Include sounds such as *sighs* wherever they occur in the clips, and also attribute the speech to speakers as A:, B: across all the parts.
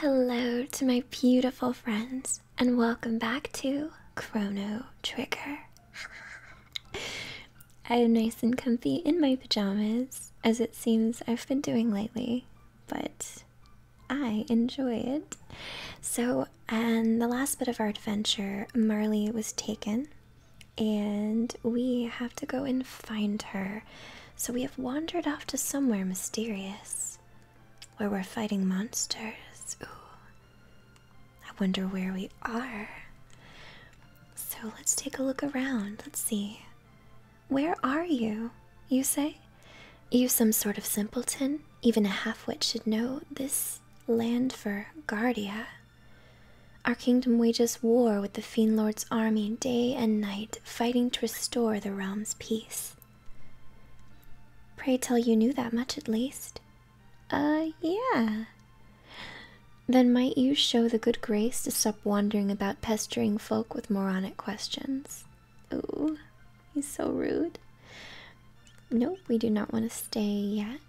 A: Hello to my beautiful friends, and welcome back to Chrono Trigger. I am nice and comfy in my pajamas, as it seems I've been doing lately, but I enjoy it. So, and the last bit of our adventure, Marley was taken, and we have to go and find her. So we have wandered off to somewhere mysterious where we're fighting monsters. Ooh. I wonder where we are. So let's take a look around. Let's see. Where are you? You say? You some sort of simpleton? Even a half-wit should know this land for Guardia. Our kingdom wages war with the Fiend Lord's army day and night, fighting to restore the realm's peace. Pray tell you knew that much at least. Uh, yeah. Then might you show the good grace to stop wandering about pestering folk with moronic questions? Oh, he's so rude. Nope, we do not want to stay yet.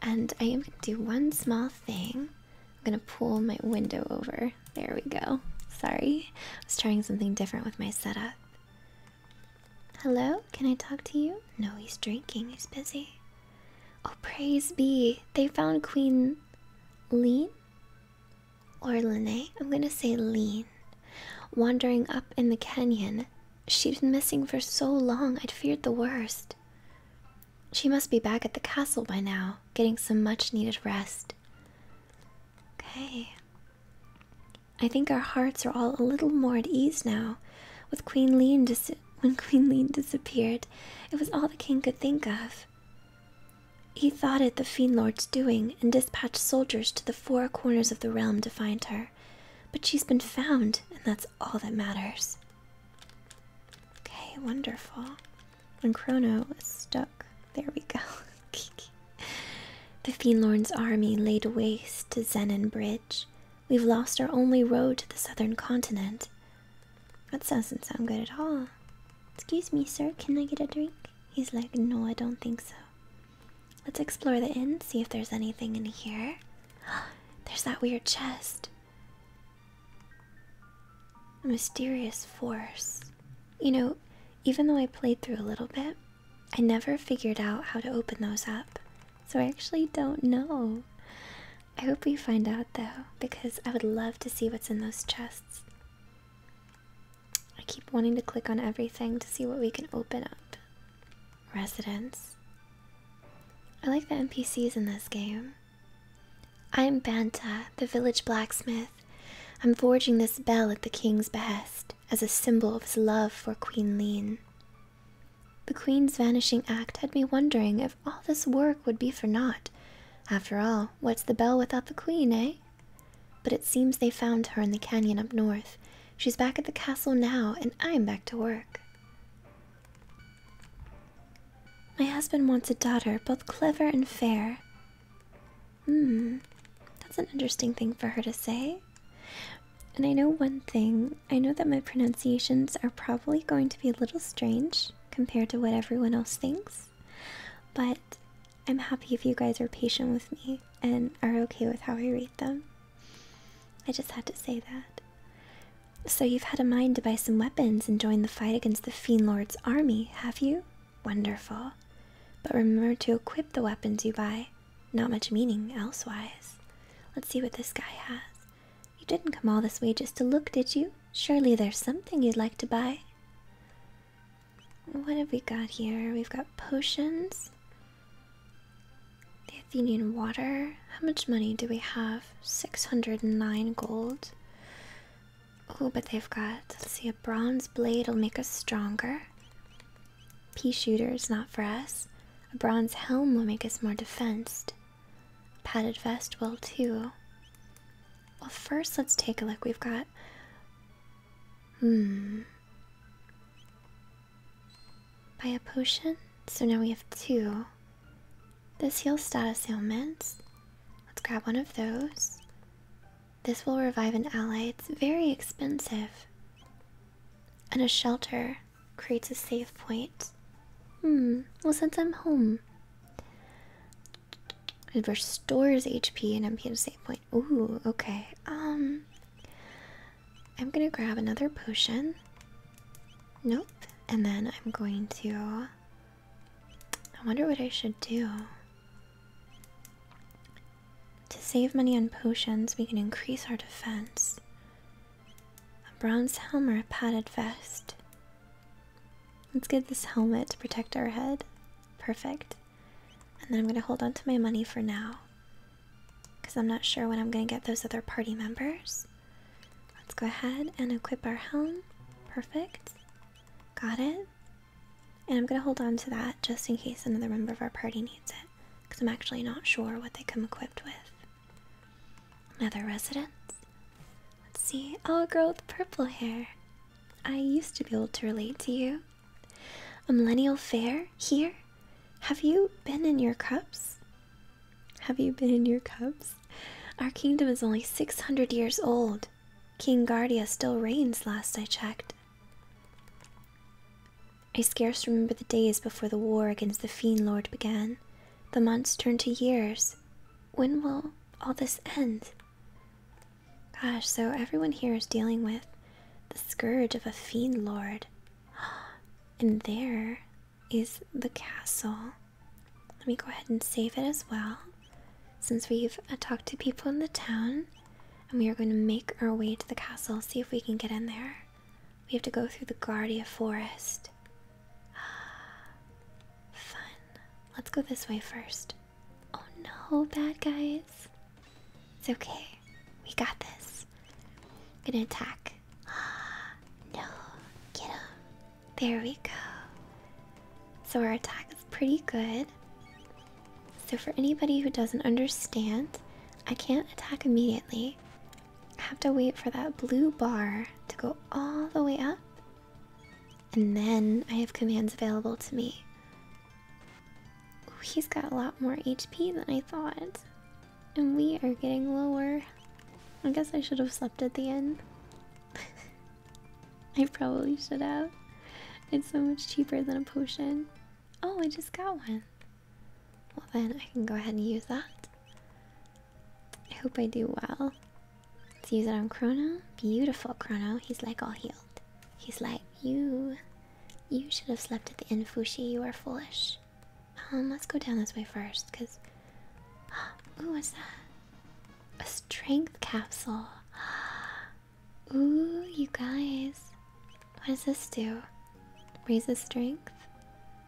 A: And I am going to do one small thing. I'm going to pull my window over. There we go. Sorry, I was trying something different with my setup. Hello, can I talk to you? No, he's drinking, he's busy. Oh, praise be. They found Queen Lean or Lene. I'm going to say Lean. Wandering up in the canyon She'd been missing for so long, I'd feared the worst. She must be back at the castle by now, getting some much needed rest. Okay. I think our hearts are all a little more at ease now. With Queen Lean dis when *laughs* Queen Lean disappeared, it was all the king could think of. He thought it the Fiend Lord's doing, and dispatched soldiers to the four corners of the realm to find her. But she's been found, and that's all that matters. Okay, wonderful. When Chrono was stuck, there we go. *laughs* the Fiendlorn's army laid waste to Zenon Bridge. We've lost our only road to the southern continent. That doesn't sound good at all. Excuse me, sir, can I get a drink? He's like, no, I don't think so. Let's explore the inn, see if there's anything in here. *gasps* There's that weird chest. A mysterious force. You know, even though I played through a little bit, I never figured out how to open those up. So I actually don't know. I hope we find out though, because I would love to see what's in those chests. I keep wanting to click on everything to see what we can open up. Residence. I like the NPCs in this game. I am Banta, the village blacksmith. I'm forging this bell at the king's behest as a symbol of his love for Queen Lean. The queen's vanishing act had me wondering if all this work would be for naught. After all, what's the bell without the queen, eh? But it seems they found her in the canyon up north. She's back at the castle now, and I'm back to work. My husband wants a daughter, both clever and fair. Hmm, that's an interesting thing for her to say. And I know one thing I know that my pronunciations are probably going to be a little strange compared to what everyone else thinks, but I'm happy if you guys are patient with me and are okay with how I read them. I just had to say that. So, you've had a mind to buy some weapons and join the fight against the Fiend Lord's army, have you? Wonderful. But remember to equip the weapons you buy. Not much meaning elsewise. Let's see what this guy has. You didn't come all this way just to look, did you? Surely there's something you'd like to buy. What have we got here? We've got potions. The Athenian water. How much money do we have? 609 gold. Oh, but they've got, let's see, a bronze blade will make us stronger. Pea shooters, not for us. A bronze helm will make us more defensed. Padded vest will too. Well, first let's take a look. We've got Hmm. Buy a potion? So now we have two. This heals status ailments. Let's grab one of those. This will revive an ally. It's very expensive. And a shelter creates a safe point. Hmm, well, since I'm home, it restores HP and MP to save point. Ooh, okay. Um, I'm gonna grab another potion. Nope. And then I'm going to. I wonder what I should do. To save money on potions, we can increase our defense. A bronze helmet or a padded vest. Let's get this helmet to protect our head. Perfect. And then I'm going to hold on to my money for now. Because I'm not sure when I'm going to get those other party members. Let's go ahead and equip our helm. Perfect. Got it. And I'm going to hold on to that just in case another member of our party needs it. Because I'm actually not sure what they come equipped with. Another residence. Let's see. Oh, a girl with purple hair. I used to be able to relate to you. A millennial fair here? Have you been in your cups? Have you been in your cups? Our kingdom is only 600 years old. King Gardia still reigns, last I checked. I scarce remember the days before the war against the Fiend Lord began. The months turned to years. When will all this end? Gosh, so everyone here is dealing with the scourge of a fiend lord. *gasps* And there is the castle. Let me go ahead and save it as well. Since we've uh, talked to people in the town, and we are going to make our way to the castle, see if we can get in there. We have to go through the Guardia Forest. *sighs* Fun. Let's go this way first. Oh no, bad guys. It's okay. We got this. gonna attack. *gasps* no, get him. There we go. So our attack is pretty good. So for anybody who doesn't understand, I can't attack immediately. I have to wait for that blue bar to go all the way up and then I have commands available to me. Ooh, he's got a lot more HP than I thought. And we are getting lower. I guess I should have slept at the end. *laughs* I probably should have. It's so much cheaper than a potion. Oh, I just got one. Well, then I can go ahead and use that. I hope I do well. Let's use it on Chrono. Beautiful Chrono. He's like all healed. He's like, you you should have slept at the inn, You are foolish. Um, let's go down this way first, because... *gasps* Ooh, what's that? A strength capsule. *gasps* Ooh, you guys. What does this do? Raises strength?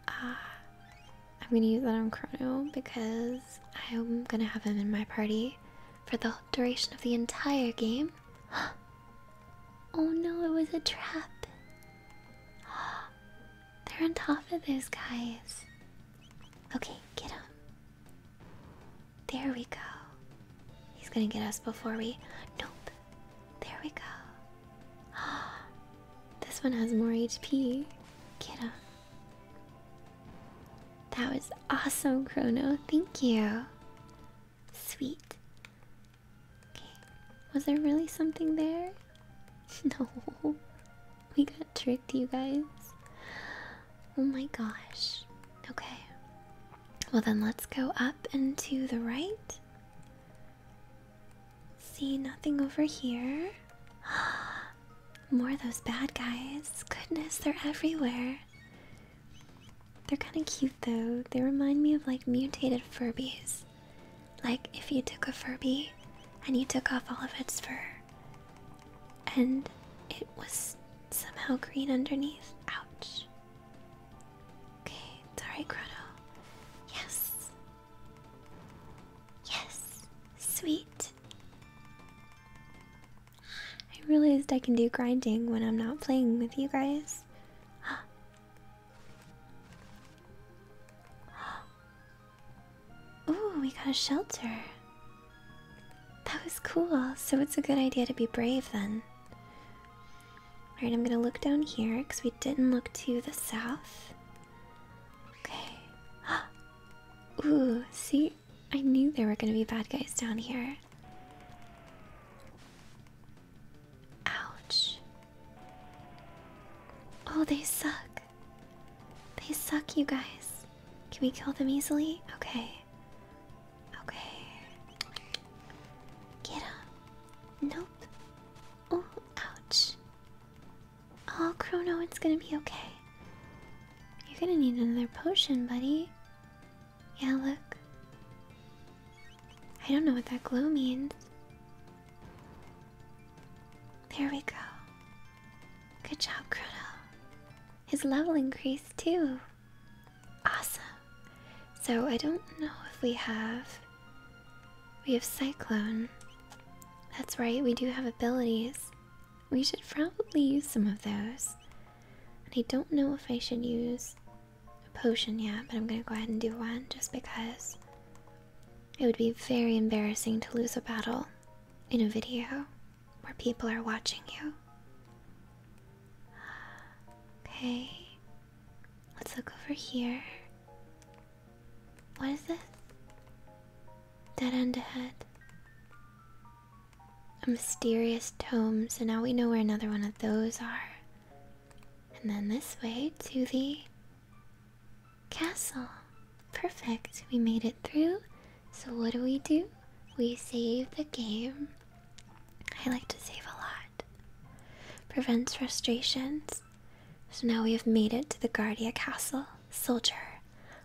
A: Ah. I'm gonna use that on Chrono, because I'm gonna have him in my party for the duration of the entire game. *gasps* oh no, it was a trap. *gasps* They're on top of those guys. Okay, get him. There we go. He's gonna get us before we. Nope. There we go. *gasps* this one has more HP. Get him. That was awesome, Chrono. Thank you. Sweet. Okay. Was there really something there? *laughs* No. We got tricked, you guys. Oh my gosh. Okay. Well, then let's go up and to the right. See, nothing over here. *gasps* More of those bad guys. Goodness, they're everywhere. They're kind of cute though. They remind me of like mutated Furbies. Like if you took a Furby and you took off all of its fur and it was somehow green underneath. Ouch. Okay, it's alright, Grotto. Yes. Yes. Sweet. I realized I can do grinding when I'm not playing with you guys. *gasps* Ooh, we got a shelter. That was cool. So it's a good idea to be brave then. Alright, I'm gonna look down here because we didn't look to the south. Okay. *gasps* Ooh, see? I knew there were gonna be bad guys down here. Ouch. Oh, they suck. They suck, you guys. Can we kill them easily? Okay. Okay. Get him. Nope. Oh, ouch. Oh, Chrono, it's gonna be okay. You're gonna need another potion, buddy. Yeah, look. I don't know what that glow means. There we go. Good job, Chrono. His level increased too. Awesome. So I don't know if we have. We have Cyclone. That's right, we do have abilities. We should probably use some of those. And I don't know if I should use a potion yet, but I'm gonna go ahead and do one just because it would be very embarrassing to lose a battle in a video where people are watching you. Okay, let's look over here. What is this? Dead end ahead. A mysterious tome, so now we know where another one of those are. And then this way to the castle. Perfect, we made it through. So, what do we do? We save the game. I like to save a lot. Prevents frustrations. So now we have made it to the Guardia Castle. Soldier,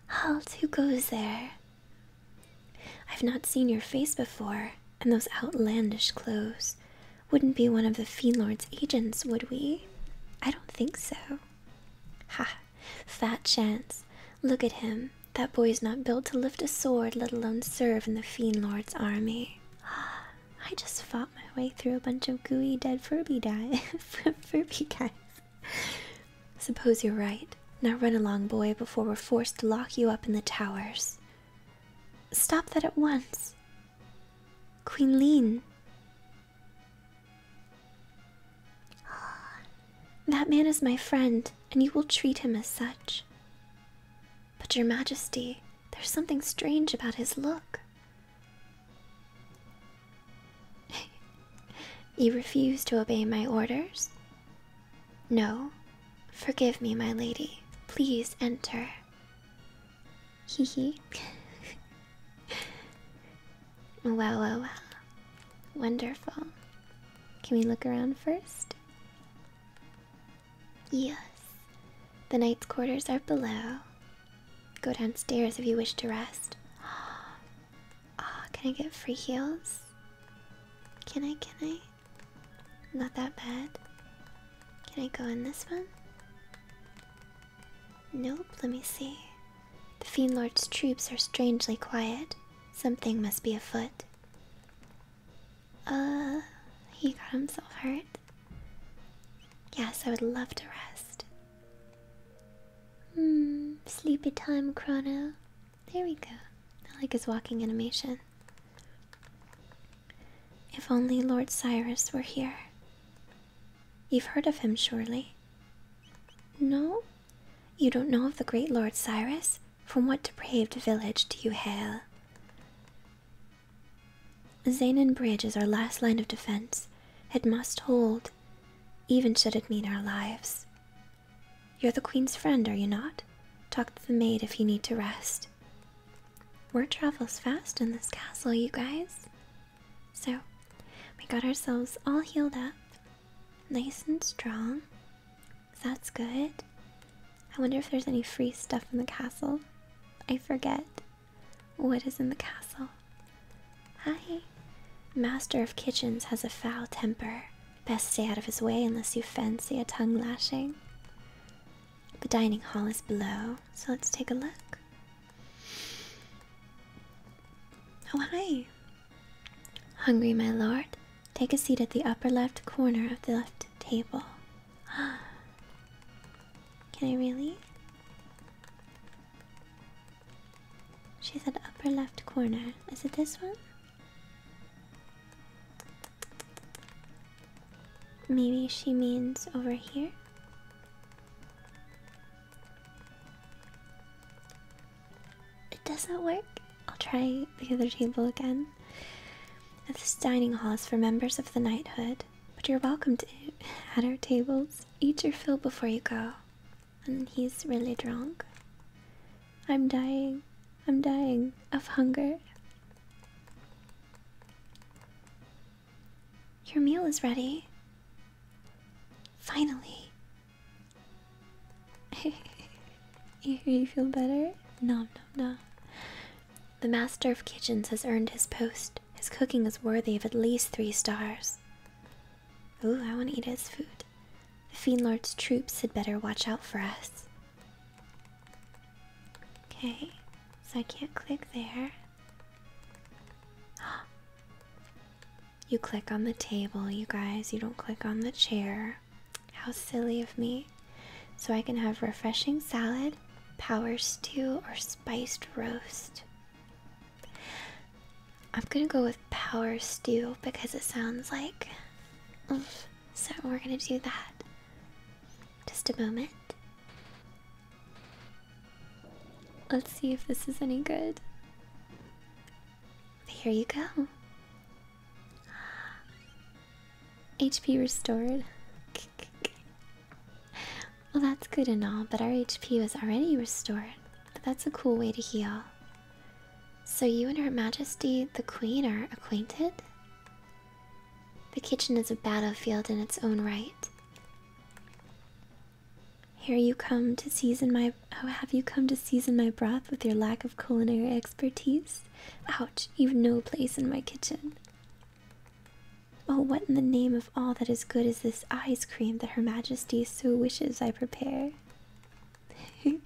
A: Halt! Who goes there? I've not seen your face before, and those outlandish clothes. Wouldn't be one of the Fiend Lord's agents, would we? I don't think so. Ha! Fat chance. Look at him. That boy's not built to lift a sword, let alone serve in the Fiend Lord's army. *gasps* I just fought my way through a bunch of gooey dead Furby, die *laughs* Furby guys. *laughs* Suppose you're right. Now run along, boy, before we're forced to lock you up in the towers. Stop that at once. Queen Lean. *sighs* That man is my friend, and you will treat him as such. But, Your Majesty, there's something strange about his look. *laughs* you refuse to obey my orders? No. Forgive me, my lady. Please enter. Hee hee. *laughs* Well, well, well. Wonderful. Can we look around first? Yes. The knight's quarters are below, Go downstairs if you wish to rest. Oh, *gasps* can I get free heals? Can I? Can I? Not that bad. Can I go in this one? Nope, let me see. The fiendlord's troops are strangely quiet. Something must be afoot. Uh, he got himself hurt. Yes, I would love to rest. Hmm, sleepy time, Chrono. There we go. I like his walking animation. If only Lord Cyrus were here. You've heard of him, surely? No? You don't know of the great Lord Cyrus? From what depraved village do you hail? Zanin Bridge is our last line of defense. It must hold even should it mean our lives. You're the Queen's friend, are you not? Talk to the maid if you need to rest. Word travels fast in this castle, you guys. So, we got ourselves all healed up, nice and strong. That's good. I wonder if there's any free stuff in the castle. I forget. What is in the castle? Hi. Master of Kitchens has a foul temper. Best stay out of his way unless you fancy a tongue lashing. The dining hall is below, so let's take a look. Oh, hi. Hungry, my lord? Take a seat at the upper left corner of the left table. Ah, *gasps* Can I really? She said upper left corner. Is it this one? Maybe she means over here? It does not work. I'll try the other table again. This dining hall is for members of the knighthood, but you're welcome to at *laughs* our tables. Eat your fill before you go. And he's really drunk. I'm dying. I'm dying of hunger. Your meal is ready. Finally. *laughs* you feel better? No, no, no. The master of kitchens has earned his post. His cooking is worthy of at least three stars. Ooh, I want to eat his food. The Fiend Lord's troops had better watch out for us. Okay, so I can't click there. *gasps* You click on the table, you guys. You don't click on the chair. How silly of me. So I can have refreshing salad, power stew, or spiced roast. I'm gonna go with power stew because it sounds like. So we're gonna do that. Just a moment. Let's see if this is any good. There you go. HP restored. *laughs* well, that's good and all, but our HP was already restored. But that's a cool way to heal. So, you and Her Majesty the Queen are acquainted? The kitchen is a battlefield in its own right. Here you come to season my. Oh, have you come to season my broth with your lack of culinary expertise? Ouch, you've no place in my kitchen. Oh, what in the name of all that is good is this ice cream that Her Majesty so wishes I prepare? *laughs*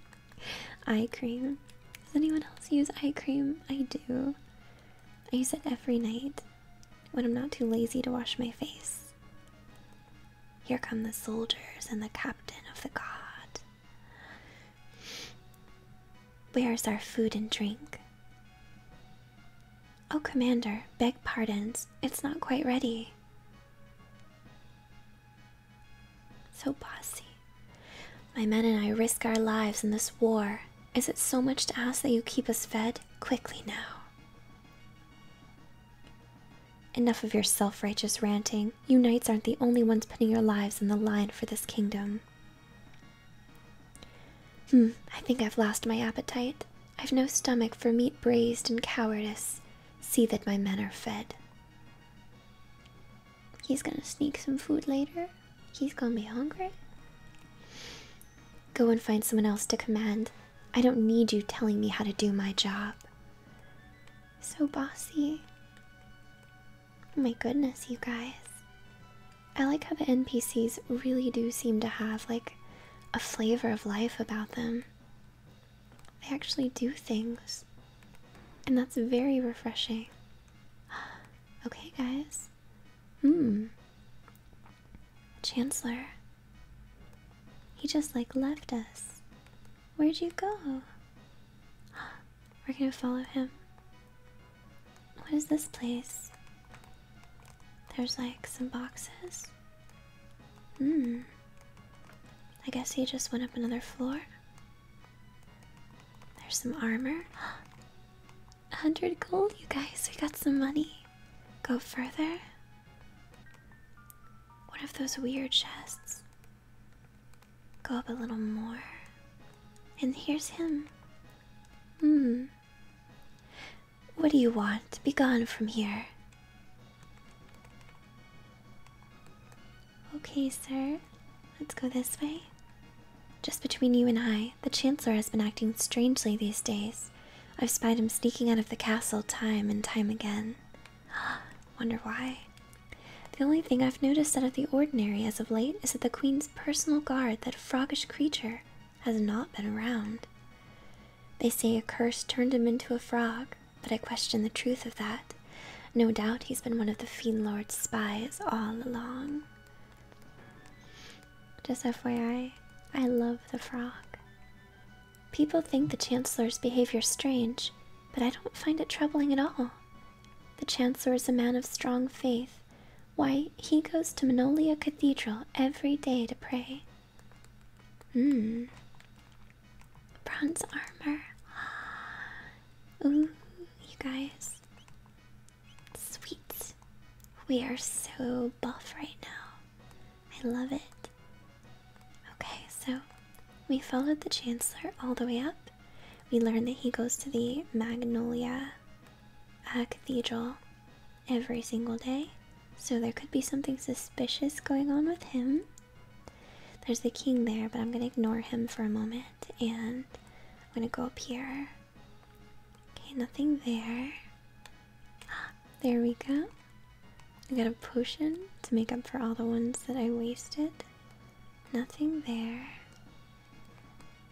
A: eye cream. Does anyone else use eye cream? I do. I use it every night when I'm not too lazy to wash my face. Here come the soldiers and the captain of the guard. Where is our food and drink? Oh, Commander, beg pardons. It's not quite ready. So bossy. My men and I risk our lives in this war. Is it so much to ask that you keep us fed? Quickly now. Enough of your self righteous ranting. You knights aren't the only ones putting your lives on the line for this kingdom. Hmm, I think I've lost my appetite. I've no stomach for meat braised in cowardice. See that my men are fed. He's gonna sneak some food later. He's gonna be hungry. Go and find someone else to command. I don't need you telling me how to do my job. So bossy. Oh my goodness, you guys. I like how the NPCs really do seem to have like a flavor of life about them. They actually do things. And that's very refreshing. *gasps* okay, guys. Hmm. Chancellor. He just like left us. Where'd you go? *gasps* We're gonna follow him. What is this place? There's like some boxes. Hmm. I guess he just went up another floor. There's some armor. 100 *gasps* gold, you guys. We got some money. Go further. One of those weird chests. Go up a little more. And here's him. Hmm. What do you want? Begone from here. Okay, sir. Let's go this way. Just between you and I, the Chancellor has been acting strangely these days. I've spied him sneaking out of the castle time and time again. *gasps* Wonder why? The only thing I've noticed out of the ordinary as of late is that the queen's personal guard that frogish creature has not been around. They say a curse turned him into a frog, but I question the truth of that. No doubt he's been one of the Fiend Lord's spies all along. Just FYI, I love the frog. People think the Chancellor's behavior strange, but I don't find it troubling at all. The Chancellor is a man of strong faith why, he goes to Manolia Cathedral every day to pray. Hmm. Bronze armor. *gasps* Ooh, you guys. Sweet. We are so buff right now. I love it. Okay, so we followed the Chancellor all the way up. We learned that he goes to the Magnolia a cathedral every single day, so there could be something suspicious going on with him. There's the king there, but I'm gonna ignore him for a moment and I'm gonna go up here. Okay, nothing there. Ah, there we go. I got a potion to make up for all the ones that I wasted. Nothing there.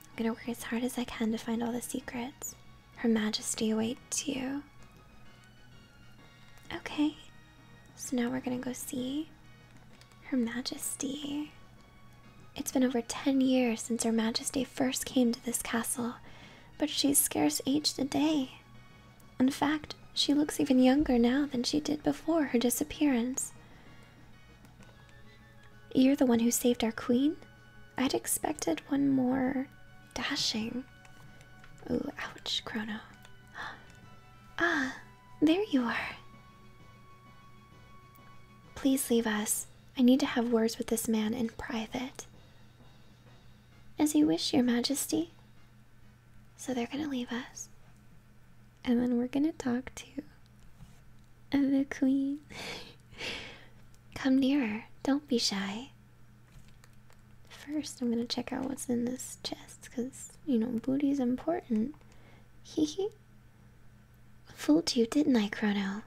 A: I'm gonna work as hard as I can to find all the secrets. Her Majesty awaits you. Okay, so now we're gonna go see Her Majesty. It's been over 10 years since Her Majesty first came to this castle, but she's scarce aged a day. In fact, she looks even younger now than she did before her disappearance. You're the one who saved our queen? I'd expected one more dashing. Ooh, ouch, Chrono. *gasps* Ah, there you are. Please leave us. I need to have words with this man in private. As you wish, Your Majesty. So they're gonna leave us and then we're gonna talk to the queen. *laughs* Come nearer, don't be shy. First, I'm gonna check out what's in this chest because you know, booty's important. *laughs* Hehe. Fooled you, didn't I, Chrono?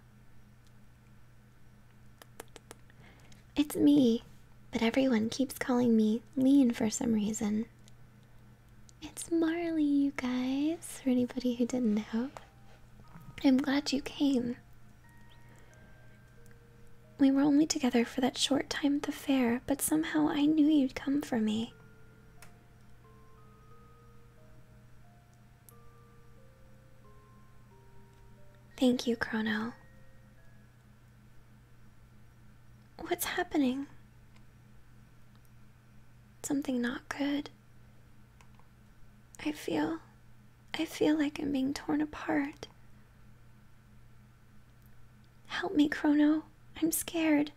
A: It's me, but everyone keeps calling me Lean for some reason. It's Marley, you guys, or anybody who didn't know. I'm glad you came. We were only together for that short time at the fair, but somehow I knew you'd come for me. Thank you, Chrono. What's happening? something not good. I feel. I feel like I'm being torn apart. Help me, Chrono. I'm scared.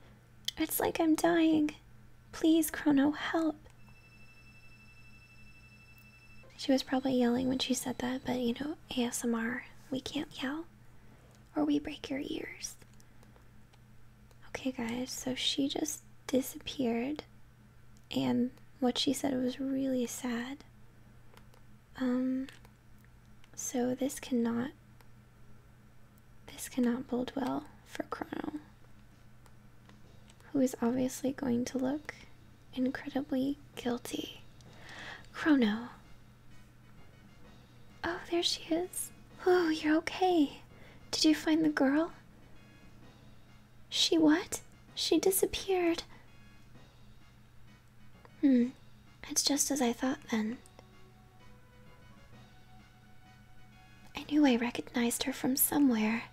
A: It's like I'm dying. Please, Chrono, help. She was probably yelling when she said that, but you know, ASMR, we can't yell or we break your ears. Okay, guys, so she just disappeared, and what she said was really sad. Um, so this cannot. This cannot bode well for Chrono, who is obviously going to look incredibly guilty. Chrono, Oh, there she is. Oh, you're okay. Did you find the girl? She what? She disappeared. Hmm, it's just as I thought then. I knew I recognized her from somewhere.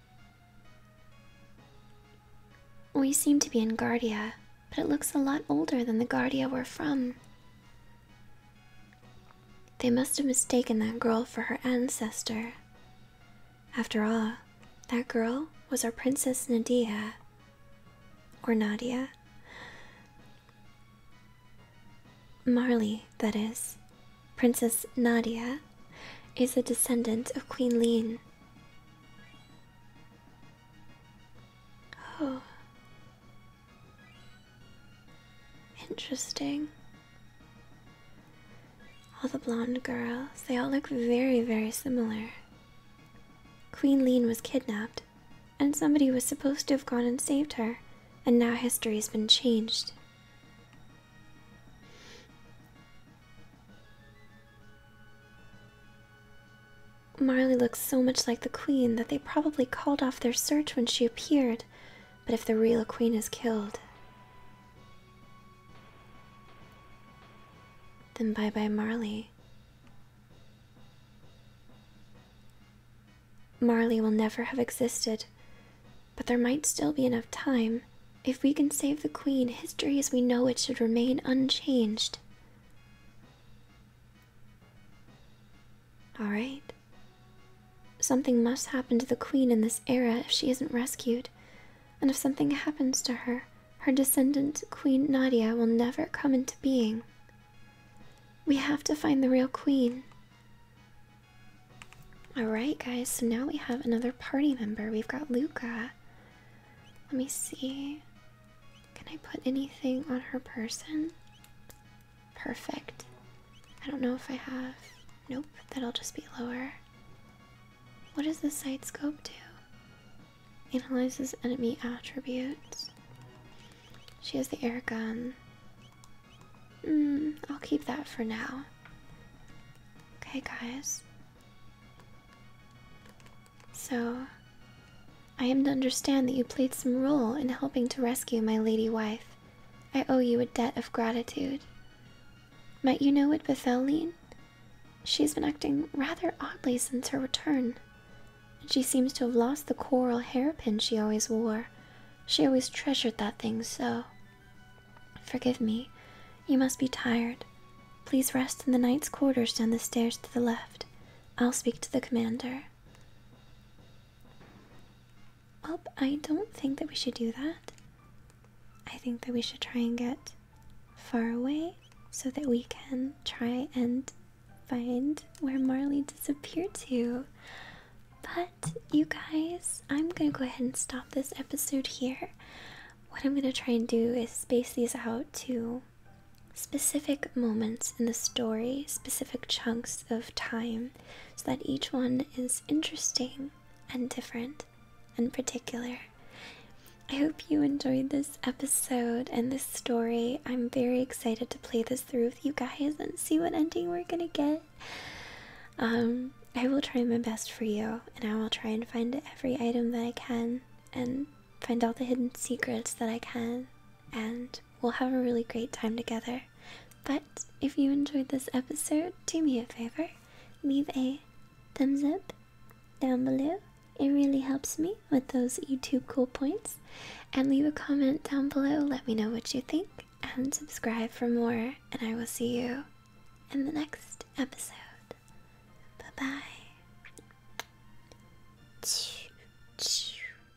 A: We seem to be in Guardia, but it looks a lot older than the Guardia we're from. They must have mistaken that girl for her ancestor. After all, that girl was our Princess Nadia. Or Nadia. Marley, that is. Princess Nadia is a descendant of Queen Lean. Oh, Interesting. All the blonde girls, they all look very, very similar. Queen Lean was kidnapped, and somebody was supposed to have gone and saved her, and now history's been changed. Marley looks so much like the Queen that they probably called off off their search when she appeared, but if the real queen is killed. Then bye bye, Marley. Marley will never have existed, but there might still be enough time. If we can save the queen, history as we know it should remain unchanged. All right. Something must happen to the queen in this era if she isn't rescued. And if something happens to her, her descendant, Queen Nadia, will never come into being. We have to find the real queen. Alright, guys, so now we have another party member. We've got Luca. Let me see. Can I put anything on her person? Perfect. I don't know if I have. Nope, that'll just be lower. What does the sight scope do? Analyzes enemy attributes. She has the air gun. Hmm, I'll keep that for now. Okay, guys. So, I am to understand that you played some role in helping to rescue my lady wife. I owe you a debt of gratitude. Might you know what befell Lean? She's been acting rather oddly since her return. She seems to have lost the coral hairpin she always wore. She always treasured that thing so. Forgive me, you must be tired. Please rest in the knight's quarters down the stairs to the left. I'll speak to the commander. Well, I don't think that we should do that. I think that we should try and get far away so that we can try and find where Marley disappeared to. But, you guys, I'm gonna go ahead and stop this episode here. What I'm gonna try and do is space these out to specific moments in the story, specific chunks of time, so that each one is interesting and different and particular. I hope you enjoyed this episode and this story. I'm very excited to play this through with you guys and see what ending we're gonna get. Um, I will try my best for you, and I will try and find every item that I can, and find all the hidden secrets that I can, and we'll have a really great time together. But if you enjoyed this episode, do me a favor leave a thumbs up down below. It really helps me with those YouTube cool points. And leave a comment down below, let me know what you think, and subscribe for more. And I will see you in the next episode. Bye bye.